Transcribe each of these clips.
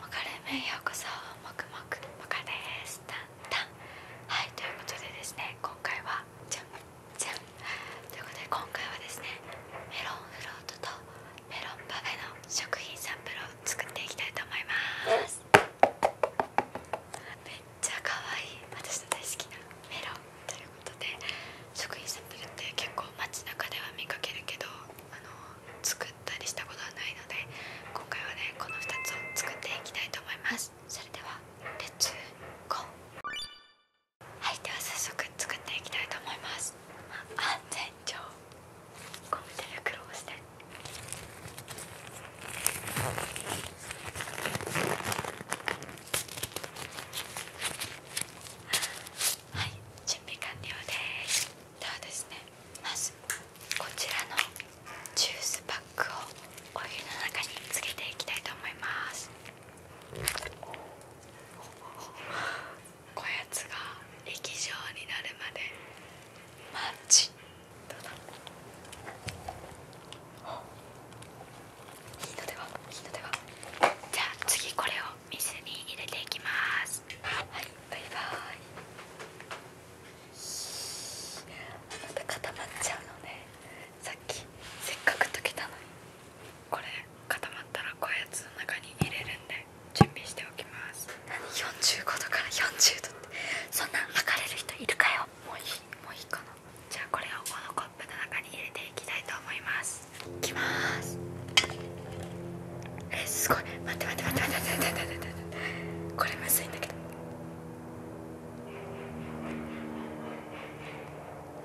マカレようこそもくもくマカですタンタンはいということでですね今回はじゃんじゃんということで今回はですねメロンフロートとメロンパフェの食品サンプルを作っていきたいと思いますめっちゃ可愛い私の大好きなメロンということで食品サンプルって結構街中では見かけるけどあの作作ったりしことで今回はねこの2つを作っていきたいと思いますそれではレッツゴーはいでは早速作っていきたいと思います安全上ゴム手袋をしてはい準備完了ですではですねまずこちらのジュースパックをお湯の中につけていきたいと思いますこやつが液状になるまでマッチどうだいいのではいいのではじゃあ次これを水に入れていきますはいバイバイまた固まっちゃうのねさっきせっかく溶けたのにこれ固まったらこういうやつの中に入れるんで準備しておきます何45度から40度ってそんな測れる人いるかよもういいもういいかなじゃあこれをこのコップの中に入れていきたいと思いますすきますえすごい待って待って待って待って待って待ってこれむずいんだけど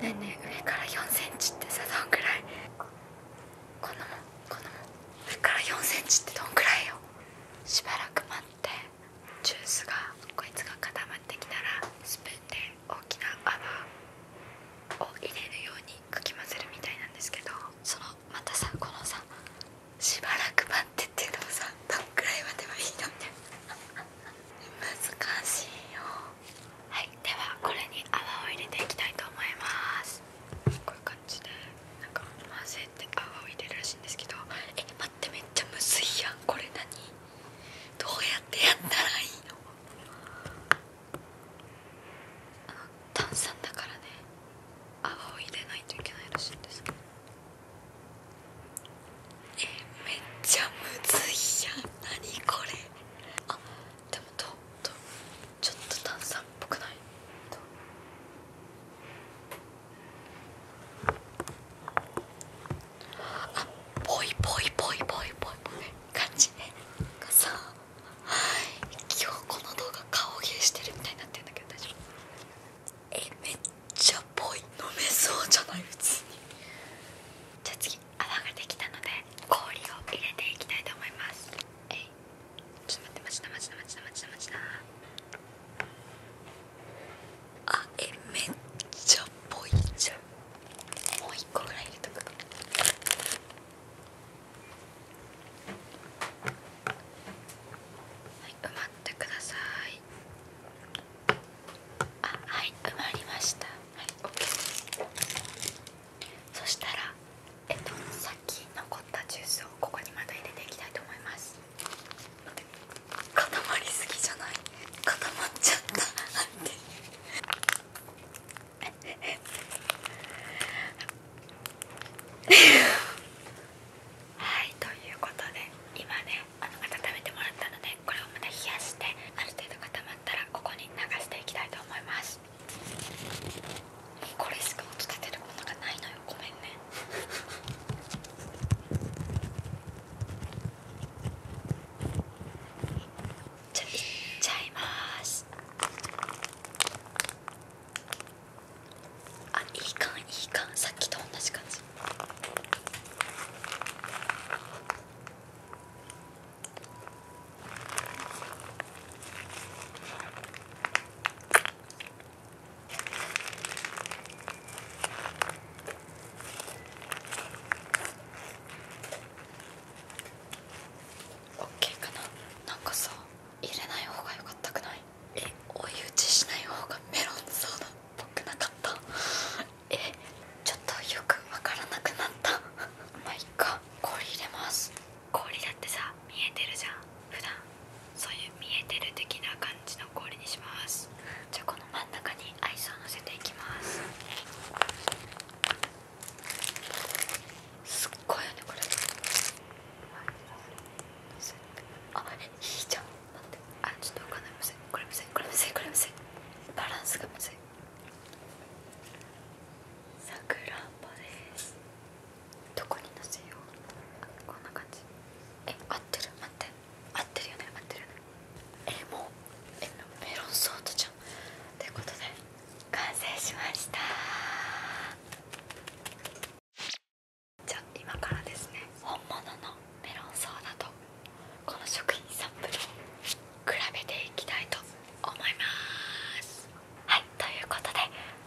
ねえねえ上から4センチってさどんくらいこのもこのも上から4センチってどんくらいよしばらく待ってジュースがこいつが固まってきたらスプーンで大きな泡を入れるようにかき混ぜるみたいなんですけどそのまたさこのさしばらく待ってっていうのもさどんくらい待てばいいのって難しいよはいではこれに泡を入れていきたいと思いますこういう感じでなんか混ぜて泡を入れるらしいんですけどえ待ってめっちゃむずいやんこれ何どうやってやったらいいのあの炭酸だからね泡を入れないといけないらしいんですえどえめっちゃむずいやん何これあでもととちょっと炭酸っぽくないとあぽいぽいぽいぽいぽいぽい感じがさ今日この動画顔芸してるみたいになってるんだけど大丈夫えめっちゃぽい飲めそうじゃない普通にじゃあ次泡ができたので氷を入れていきたいと思いますえいちょっと待って待ちな待ちな待ちな待ちな待ちなあえめっちゃぽいじゃんもう一個ぐらい入れとくかはい埋まってくださいあはい埋まりましたはい OK そしたらえっとさっき残ったジュースをここにまた入れていきたいと思います固まりすぎじゃない固まっちゃったってはいということで今ねあの温めてもらったのでこれをまた冷やしてある程度固まったらここに流していきたいと思いますこれしか音立てるものがないのよごめんねじゃいっちゃいますあいいかん、いいかん、さっきと同じ感じうん。オッケーかななんかさ入れない方が良かったくないえ追い打ちしない方がメロンソーダっぽくなかった えちょっとよくわからなくなった まあいっか氷入れます氷だってさ見えてるじゃん普段そういう見えてる的な感じの氷にしますじゃあこの真ん中にアイスをのせていきますすっごいよねこれあえっちょっと分かんないこれむずいこれむずいこれむずいバランスがむずんどこにのせようこんな感じえ合ってる待って合ってるよね合ってるえもうメロンソーダじゃんということで完成しましたじゃあ今からですね本物のメロンソーダとこの食品サンプルを比べていきたいと思いますはいということで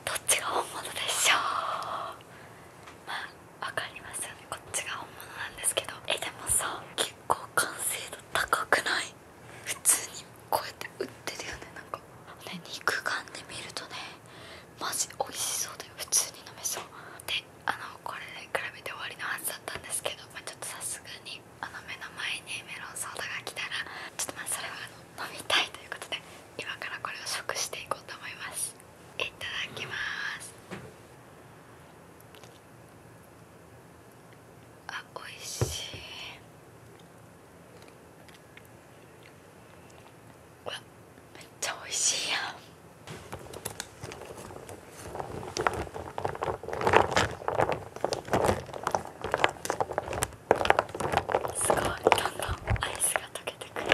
どっちが本物でしょうわかりますよねこっちが本物なんですけどえでもさ結構完成度高くない普通にこうやって売ってるよねなんかね肉眼で見るとねマジ美味しそうだよ普通に飲めそうであのこれで比べて終わりのはずだったんですけど、まちょっとさすがにあの目の前にメロンソーダが来たらちょっとまあそれはあの飲みたいということで今からこれを食していこうと思いますいただきますあおいしいわめっちゃおいしいやんすごいどんどんアイスが溶けてくる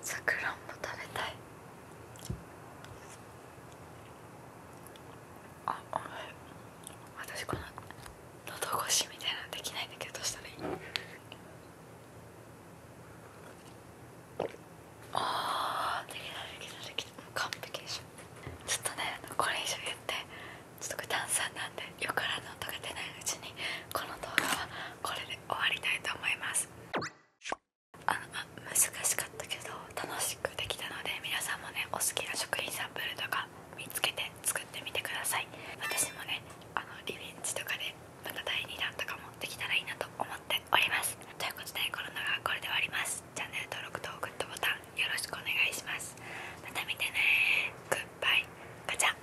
さくらんぼ食べたいあお私この喉越しみたいなできないんだけどどうしたらいいあーできたできたできた完璧ちょっとねこれ以上言ってちょっとこれ炭酸なんでよからぬ音が出ないうちにこの動画はこれで終わりたいと思いますあのあ難しかったけど楽しくできたので皆さんもねお好きな食品サンプルとか見つけて作ってみてください私もねあのリベンジとかでまた第2弾とかもできたらいいなと思っておりますということでコロナがこれで終わりますチャンネル登録とグッドボタンよろしくお願いしますまた見てねグッバイガチャ